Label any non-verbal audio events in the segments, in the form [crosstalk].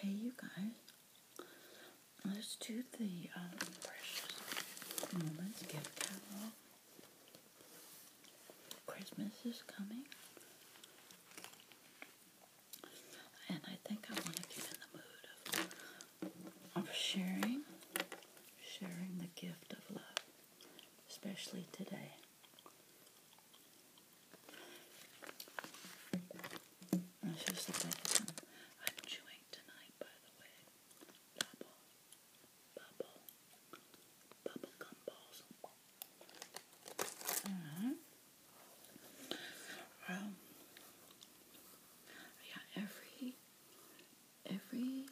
Hey, you guys. Let's do the um, Precious Moments gift catalog. Christmas is coming. And I think I want to get in the mood of, of sharing, sharing the gift of love, especially today. I'm chewing tonight, by the way. Bubble, bubble, bubble gum balls. Mm yeah, every every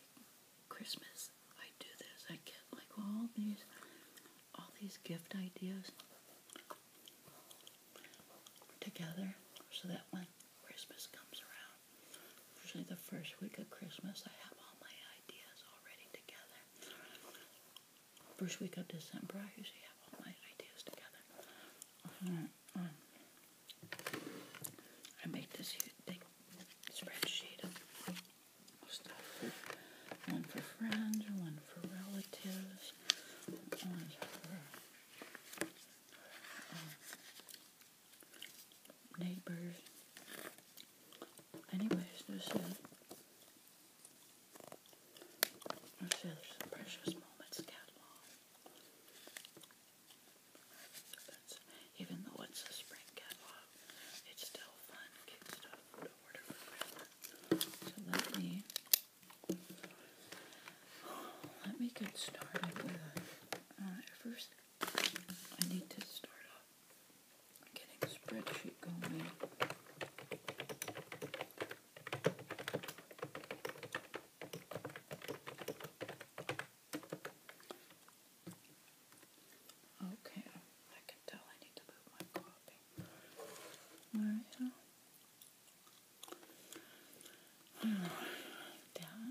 Christmas I do this. I get like all these, all these gift ideas together so that when Christmas comes around, usually the first week of Christmas, I have all my ideas already together. First week of December, I usually have all my ideas together. I make this huge big spreadsheet stuff one for friends, one for relatives, one for uh, neighbors. Anyways, this is. Let's see, precious moments catalog. That's, even though it's a spring catalog, it's still fun kid stuff. So let me let me get started with uh, first I need to start off getting a spreadsheet going. Okay, I can tell I need to move my coffee. Alright, now. Alright, down.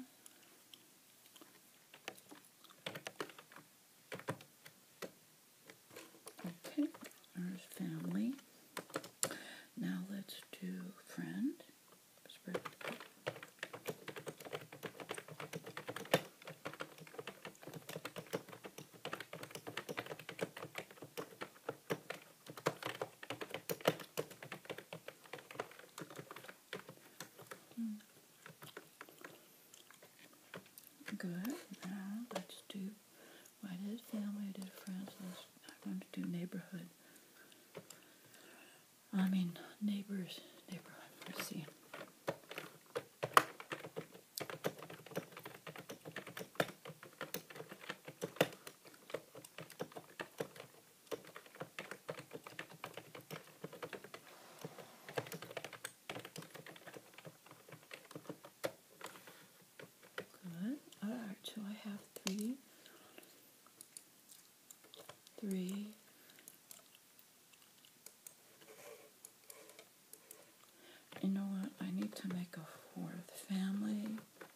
Okay, family. Now let's do friend. Good. Now let's do. Well, I did family. I did friends. Let's, I want to do neighborhood. I mean neighbors. Neighborhood. Let's see. Good. All right, so I have three, three, you know what? I need to make a fourth. Family,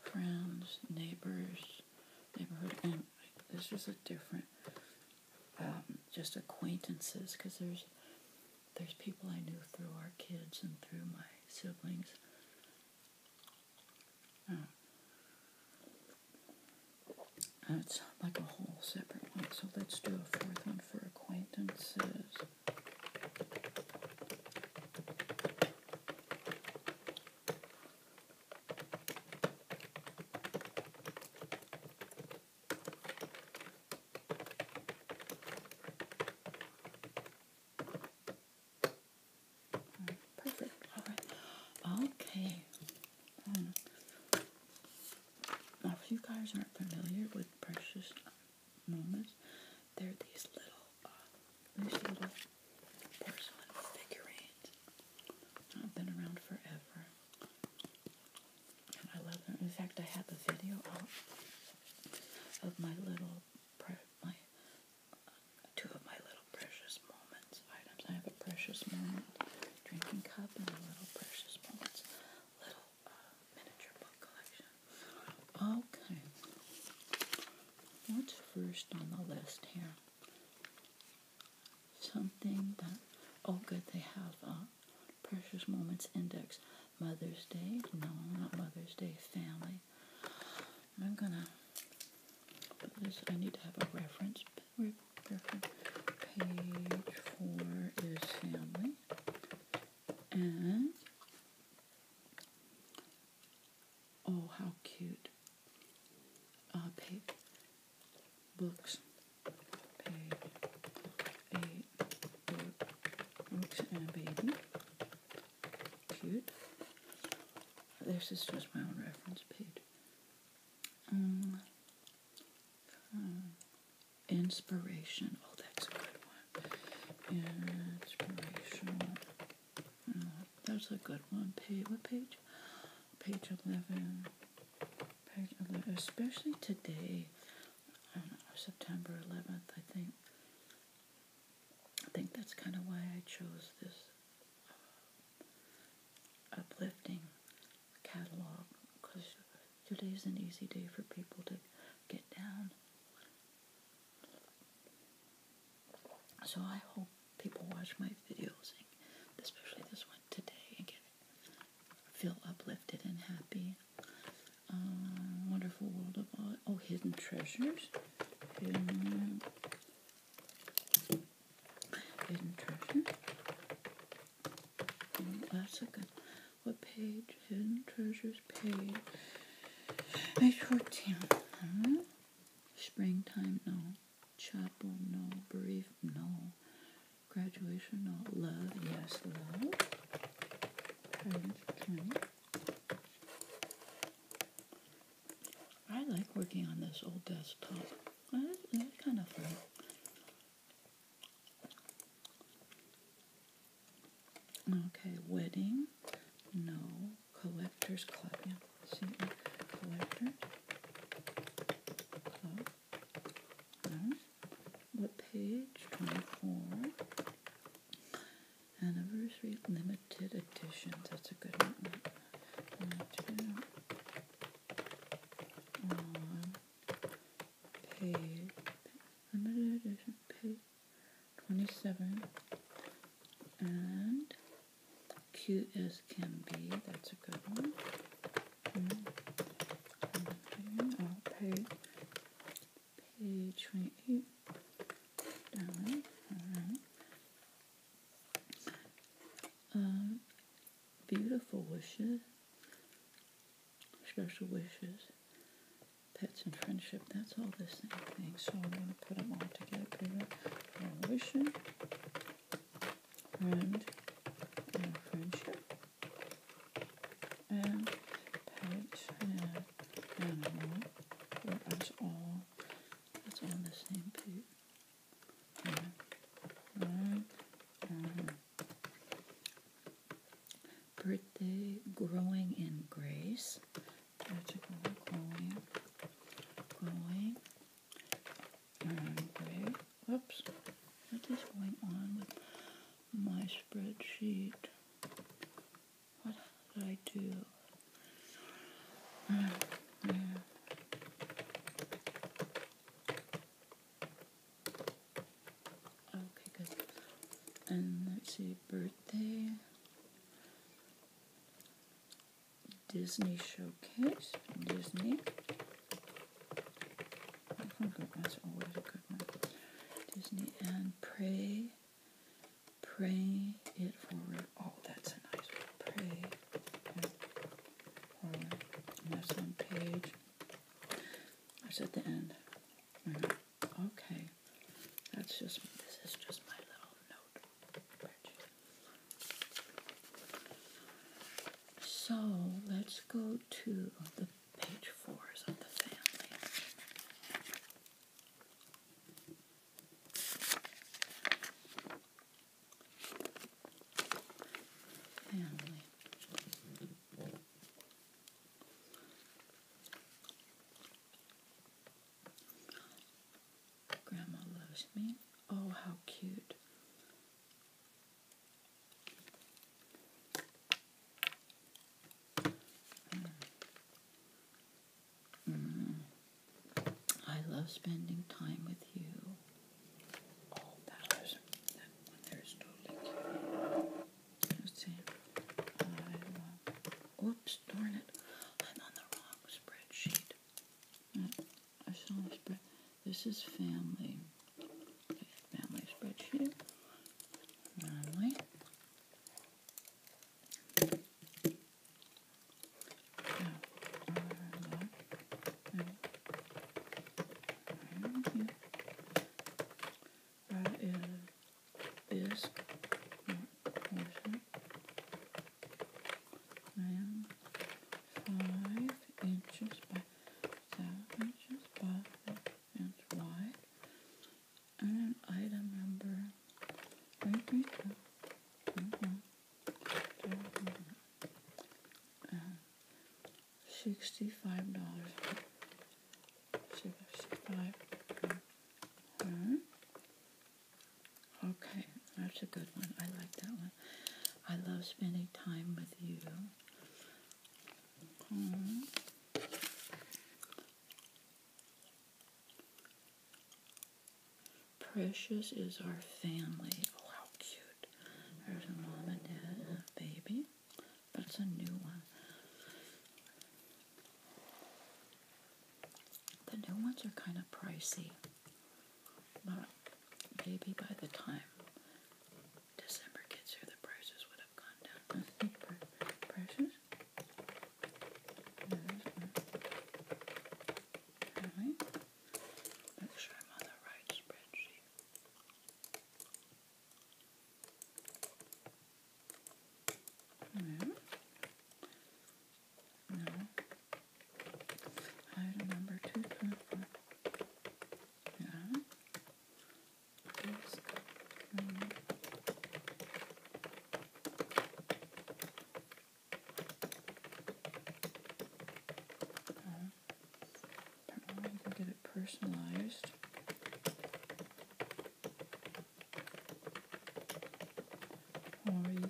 friends, neighbors, neighborhood, and this is a different, um, just acquaintances, because there's there's people I knew through our kids and through my siblings. Oh. like a whole separate one. So let's do a fourth one acquaintances. Perfect. Okay. Hmm. Now, if you guys aren't familiar with precious moments, they're these little, uh, these little porcelain figurines. I've been around forever, and I love them. In fact, I have a video of my little, my uh, two of my little precious moments items. I have a precious moment drinking cup and a little precious moments little miniature book collection. Okay. What's first on the list here? Something that, oh good, they have a uh, Precious Moments Index. Mother's Day? No, not Mother's Day. Family. I'm gonna I need to have a reference. Reference page four is family. And oh, how cute! Uh, page books, page eight book, books and a baby. Cute. This is just my own reference page. Um, Inspiration. Oh, that's a good one. Inspirational. Oh, uh, that's a good one. Page, what page? Page 11. Page 11. Especially today, September 11th, I think. I think that's kind of why I chose this uh, uplifting catalog because Today is an easy day for people to get down. So I hope people watch my videos, especially this one today, and feel uplifted and happy. Um, wonderful world of oh, hidden treasures, hidden, hidden that's a good. What page? Hidden treasures page. Page fourteen. Huh? Hmm? Springtime no. Chapel no. Brief no. Graduation no. Love yes love. I like working on this old desktop. It's kind of fun. Okay, wedding. No. Collectors Club. Yeah, collector What page? 24. Anniversary limited edition. That's a good one. Limited. Um, Page limited edition paid 27 and cute as can be that's a good one mm. Page -hmm. 28 um, beautiful wishes special wishes, pets and friendship. That's all the same thing. So I'm going to put them all together. Put it wishing, and friendship, and pet and animal. That's all. That's all the same thing. and, Birthday Growing in Grace. Growing, what is going on with my spreadsheet? What did I do? Uh, uh. Okay, good. And let's see, birthday. Disney Showcase, Disney. That's always a good one. Disney and Pray, Pray It Forward. Oh, that's a nice one. Pray It Forward. that's on page, that's at the end. Mm-hmm. Okay, that's just this is just my little note. So let's go to the page fours of the family. Family. Grandma loves me. Oh, how cute. Mm. Mm. I love spending time with you. Oh, let uh, darn it. I'm on the wrong spreadsheet. I saw the spread. This is family. Family spreadsheet. Family that is this portion and five inches by seven inches by inch wide. And then item number three three two. Mm -hmm. Mm -hmm. And sixty-five dollars. Sixty-five. Huh? Hmm? Okay, that's a good one. I like that one. I love spending time with you. Hmm? Precious is our family. Oh, how cute. There's a mom and dad and a baby but it's a new one. The new ones are kind of pricey, but maybe by the time December gets here, the prices would have gone down. I [laughs] think prices. No, make sure I'm on the right spreadsheet. No. No. I remember two purple. Yeah. This green. Oh. Apparently you can get it personalized. Or you can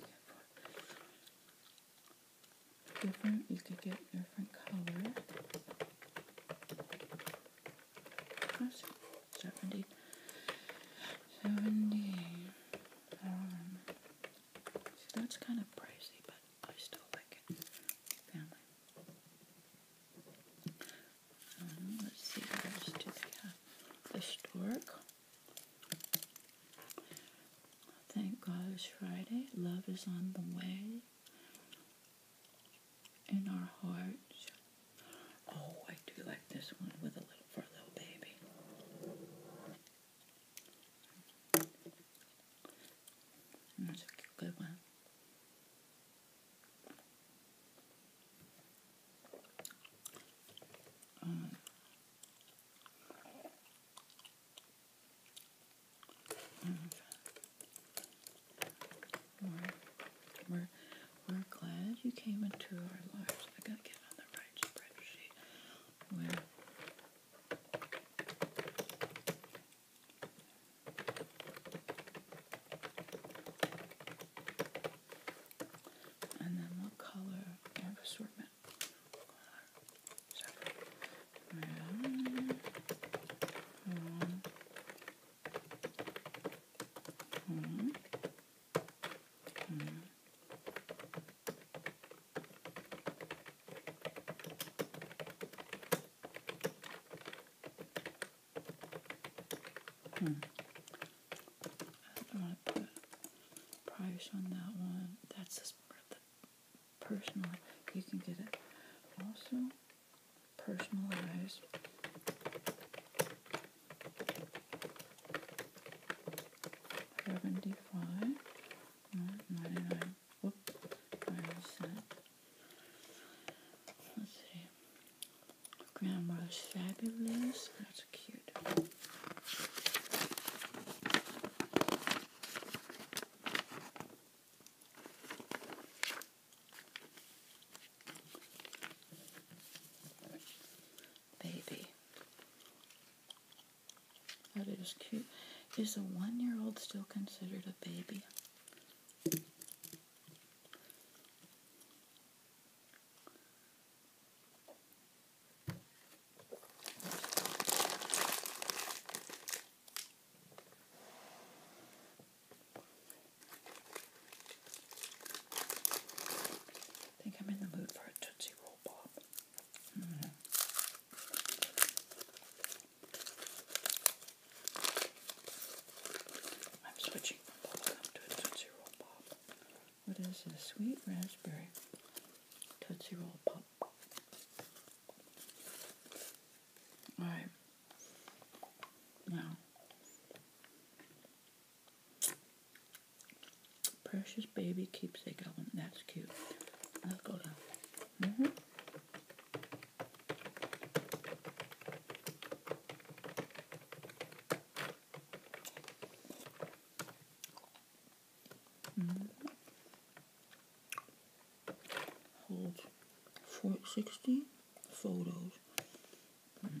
different, you could get different color. Um, that's that's kind of pricey, but I still like it. Family. Mm-hmm, let's see what else do The stork. Thank God it's Friday. Love is on the way in our hearts. Oh, I do like this one with a little for little baby. That's a good one we're, we're, glad you came into our lives. I gotta get on the right spreadsheet. And then what color? I have assortment. Seven. One. One. One. Hmm. I don't want to put price on that one. That's just personal. You can get it also personalized. Seventy-five, ninety-nine. Whoop, nine cent. Let's see. Grandma's Fabulous. That's cute. Baby. Oh, that is cute. Is a one year old still considered a baby? I think I'm in the mood for a Tootsie Roll Pop. Mm. I'm switching from bubblegum to a Tootsie Roll Pop. What is this? Sweet raspberry Tootsie Roll Pop. Alright. Now, precious baby keepsake album. That's cute. Let's go down. -hmm. Mm. Holds 460 photos. Mm.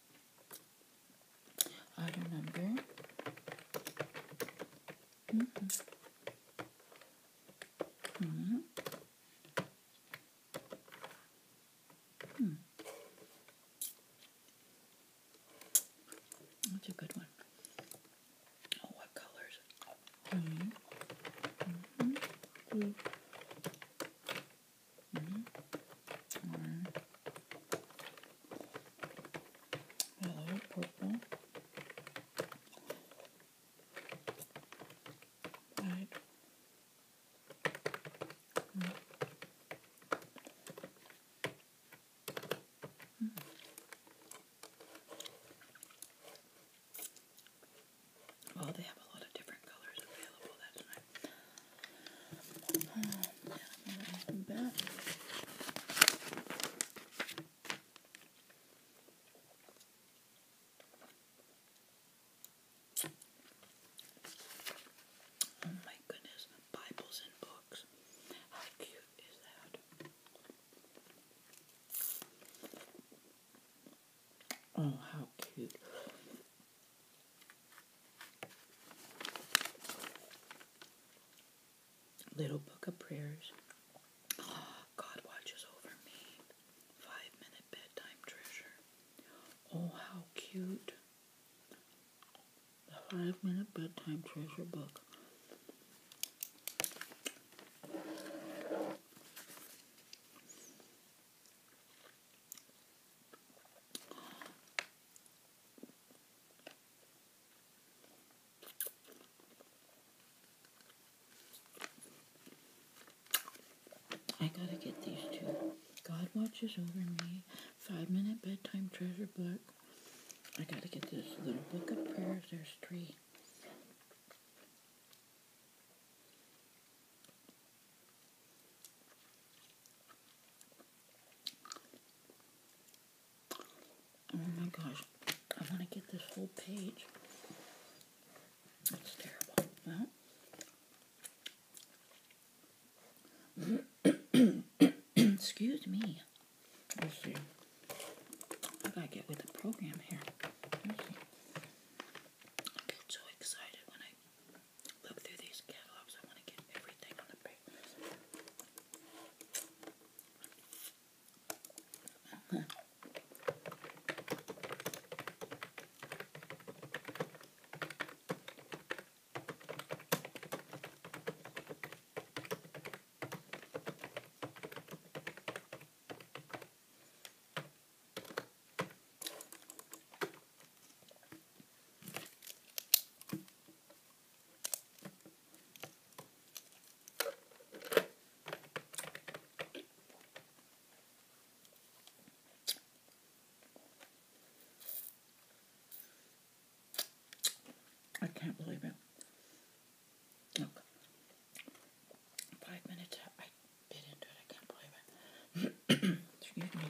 Auto number. Mm -hmm. -hmm. Hmm. That's a good one. Oh, what colors? Mm -hmm. -hmm. Mm -hmm. Hello, purple. Right. Mm. Mm. Well, they have a lot of different colors available. That's nice. Oh my goodness, Bibles and books. How cute is that? Oh, how cute. Little Book of Prayers. Oh, God watches over me. Five Minute Bedtime Treasure. Oh, how cute. The Five Minute Bedtime Treasure book. I gotta get these two. God watches over me. Five minute bedtime treasure book. I gotta get this little book of prayers. There's three. Oh my gosh, I want to get this whole page. That's terrible. Well, [coughs] Excuse me. Let's see. I gotta get with the program here. I get so excited when I look through these catalogs. I want to get everything on the paper. I can't believe it. five minutes I bit into it. I can't believe it. [clears throat] Excuse me.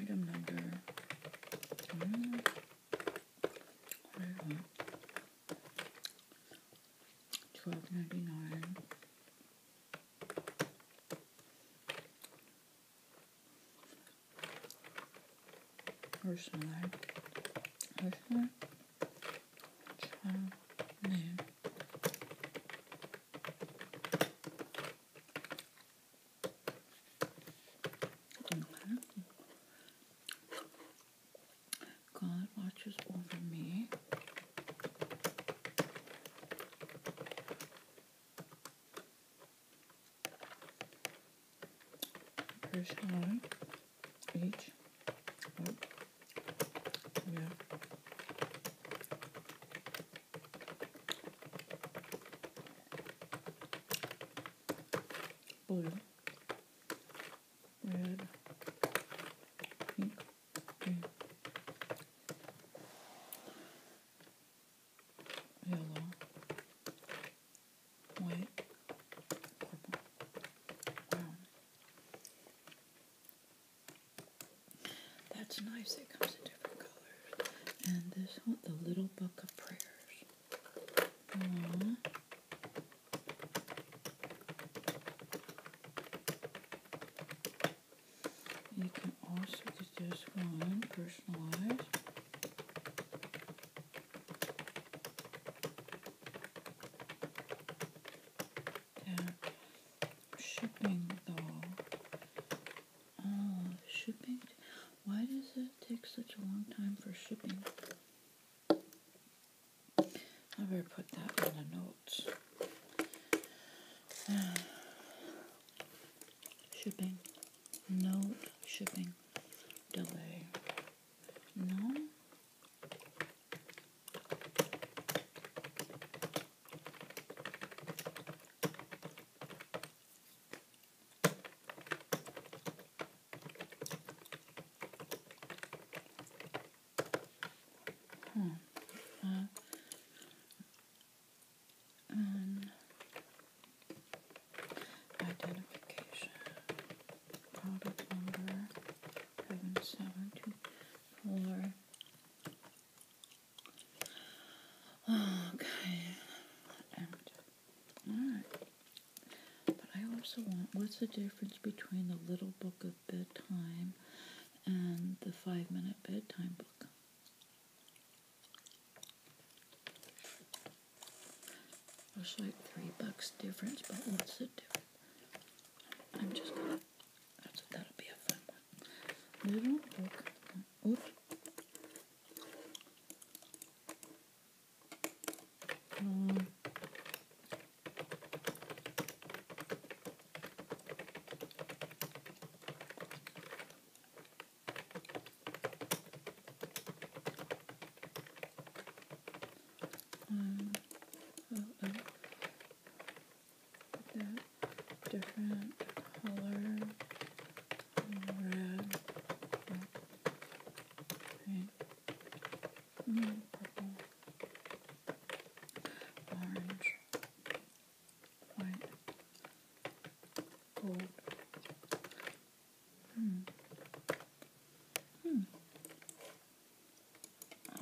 Item number twelve ninety nine. Hırsınlar. Hırsınlar. Çalmıyor. God watches over me. Personally, each. Oh, yeah. Blue, red, pink, green, yellow, white, purple. Wow. That's nice. It comes in different colors. And this one, the little book of prayers. Aww. You can also get this one personalized. Так, shipping though. Oh, shipping. Why does it take such a long time for shipping? I better put that in a note. [sighs] shipping. Note shipping delay. No. Huh. Hmm. Uh, um, Identification. Product number seven seven two four. Okay. Alright. But I also want what's the difference between the little book of bedtime and the five minute bedtime book? It's like three bucks difference, but what's the difference? I'm just gonna. that'll be a fun one. Little book. Um, i different color, red, green, mm, purple, orange, white, gold, Hmm. Hmm.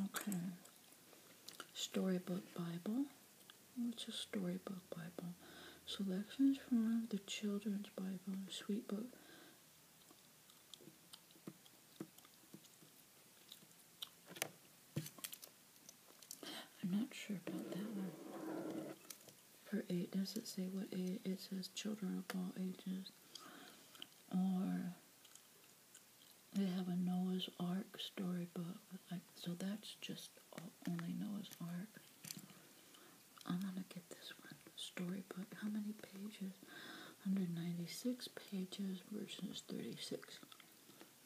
Okay. Storybook Bible. What's a storybook Bible? Selections from the Children's Bible, Sweet Book. I'm not sure about that one per eight? Does it say what age? It says children of all ages. Or they have a Noah's Ark storybook. Like, so that's just only Noah's Ark. I'm gonna get this one. Storybook. How many pages? 196 pages versus 36.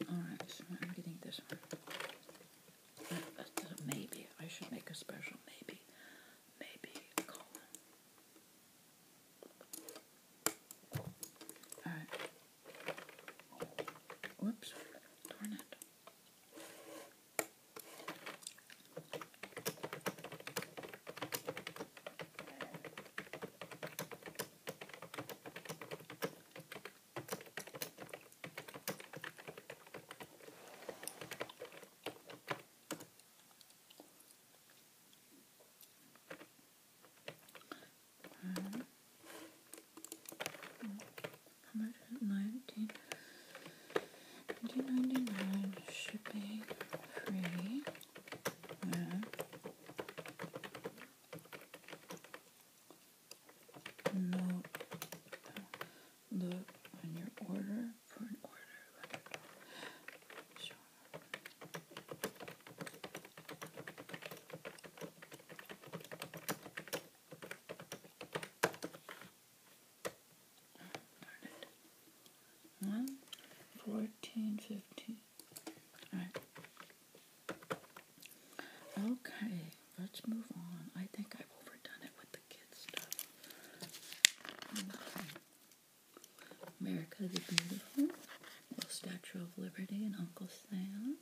Alright, so I'm getting this one. Uh, uh, maybe. I should make a special maybe maybe common. Alright. Whoops, darn it. Um, how much nineteen? Nineteen ninety nine shipping free. No, look on your order for an order. Sure. fifteen. All right. Okay, let's move on. I think I've overdone it with um, America the Beautiful, Little Statue of Liberty and Uncle Sam.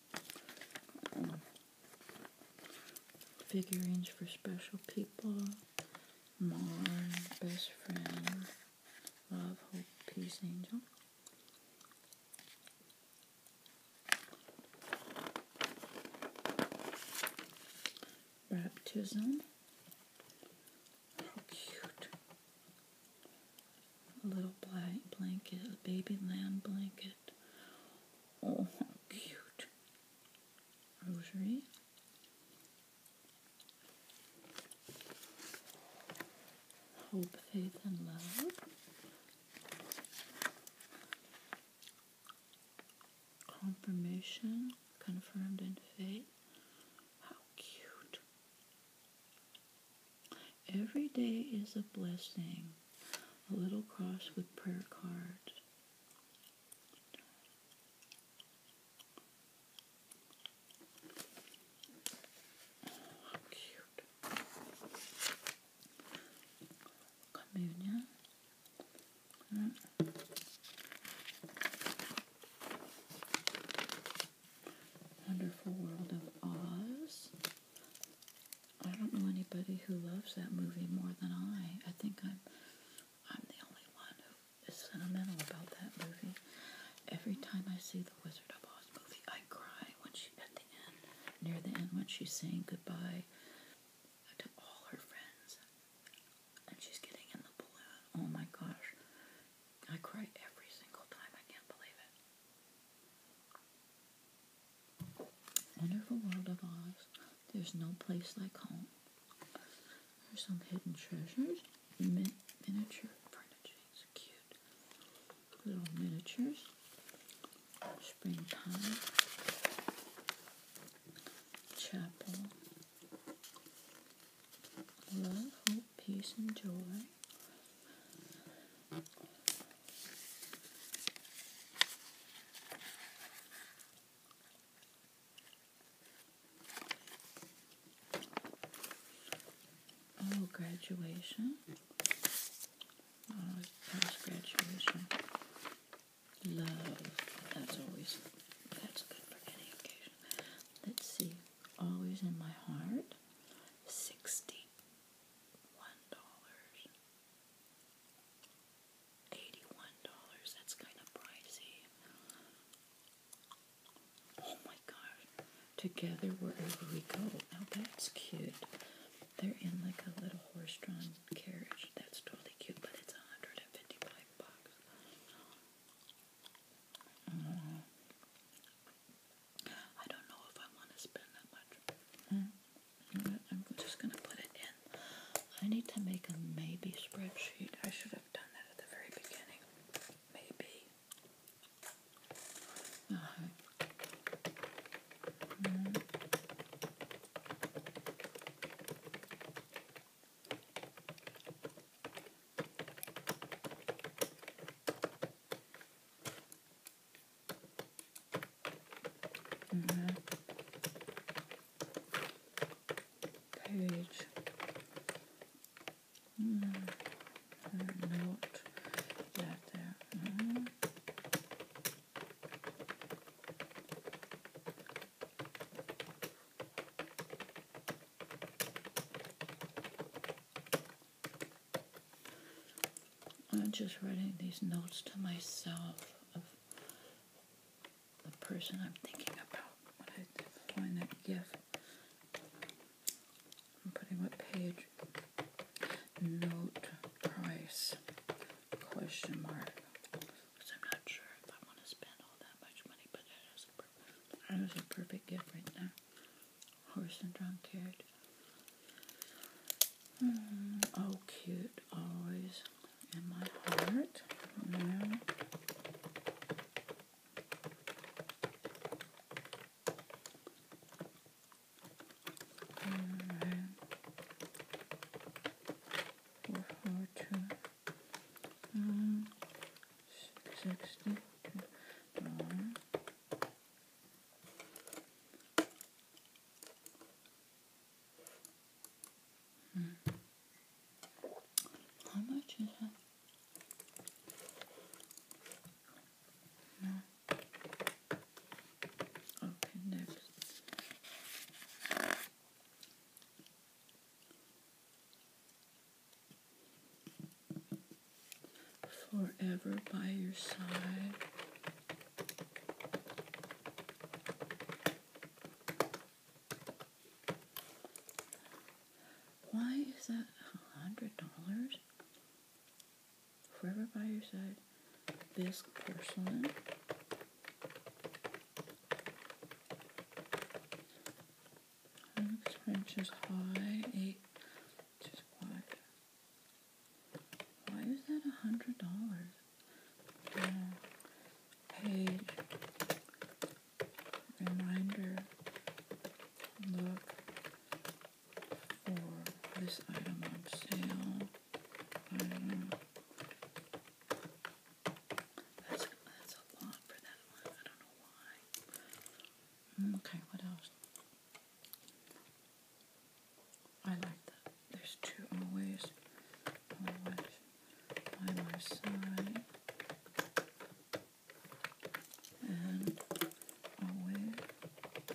Um, figurines for special people. Mom, Best Friend, Love, Hope, Peace, Angel. Baptism. How cute. A little black blanket, a baby lamb blanket. Oh, how cute. Rosary. Hope, faith, and love. Confirmation confirmed in faith. How cute. Every day is a blessing. A little cross with prayer cards. How cute. Communion. Wonderful World of Oz. I don't know anybody who loves that movie more than I. I think I'm I'm the only one who is sentimental about that movie. Every time I see the Wizard of Oz movie, I cry when she at the end, near the end when she's saying goodbye to all her friends and she's getting in the balloon. Oh my gosh. I cry every single time. I can't believe it. Wonderful World of Oz. There's no place like home. There's some hidden treasures. Min miniature furniture. It's cute. Little miniatures. Springtime. Chapel. Love, hope, peace, and joy. Oh, graduation. Oh, past graduation. Love. That's always that's good for any occasion. Let's see. Always in my heart. Sixty one dollars. Eighty one dollars. That's kind of pricey. Oh my gosh. Together wherever we go. Now that's cute. They're in like a little horse drawn carriage. That's totally cute, but it's 155 bucks. Mm-hmm. I don't know if I want to spend that much. Mm-hmm. I'm just going to put it in. I need to make a maybe spreadsheet. I should have done that at the very beginning. Maybe. Uh -huh. Mm-hmm. Mm -hmm. Page. Mm. Note that there. Mm -hmm. I'm just writing these notes to myself of the person I'm thinking about when I find that gift. I'm putting what page note price question mark because I'm not sure if I want to spend all that much money, but that is a perfect, that is a perfect gift right there. Horse and drum carriage. Hmm, oh, cute. Always in my heart. Yeah. Right. Four, four, two um, sixty Hmm. How much is that? No. Okay, next forever by your side. Why is that $100? Forever by your side. This porcelain. Six inches high, eight inches wide. Why is that a hundred dollars? Page reminder. Look for this item on sale. That's, that's a lot for that one. I don't know why. Mm, okay, what else? I like that. There's two always, always by my side, and always,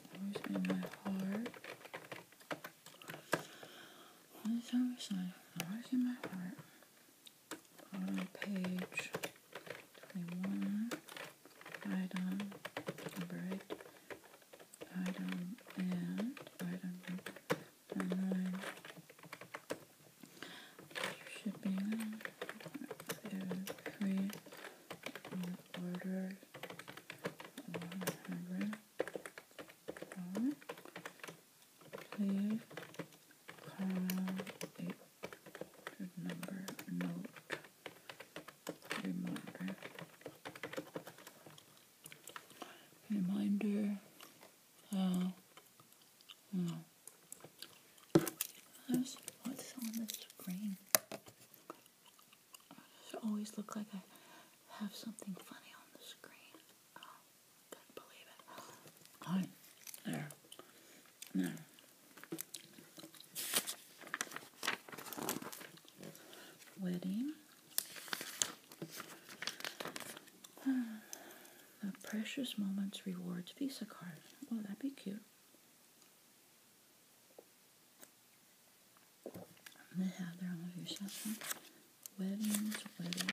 always in my heart. Always on my side, always in my heart on page 21, item number 8, item and item number 9. Shipping is free on order 100. Right. Clear Coral 800 number note reminder. Reminder. Uh, no. what's hmm. on the screen. I always look like I have something funny on the screen. Oh. Couldn't believe it. Hi. There. There. Wedding. Uh, a Precious Moments Rewards Visa card. Oh, that'd be cute. They have their own visa. Weddings, weddings.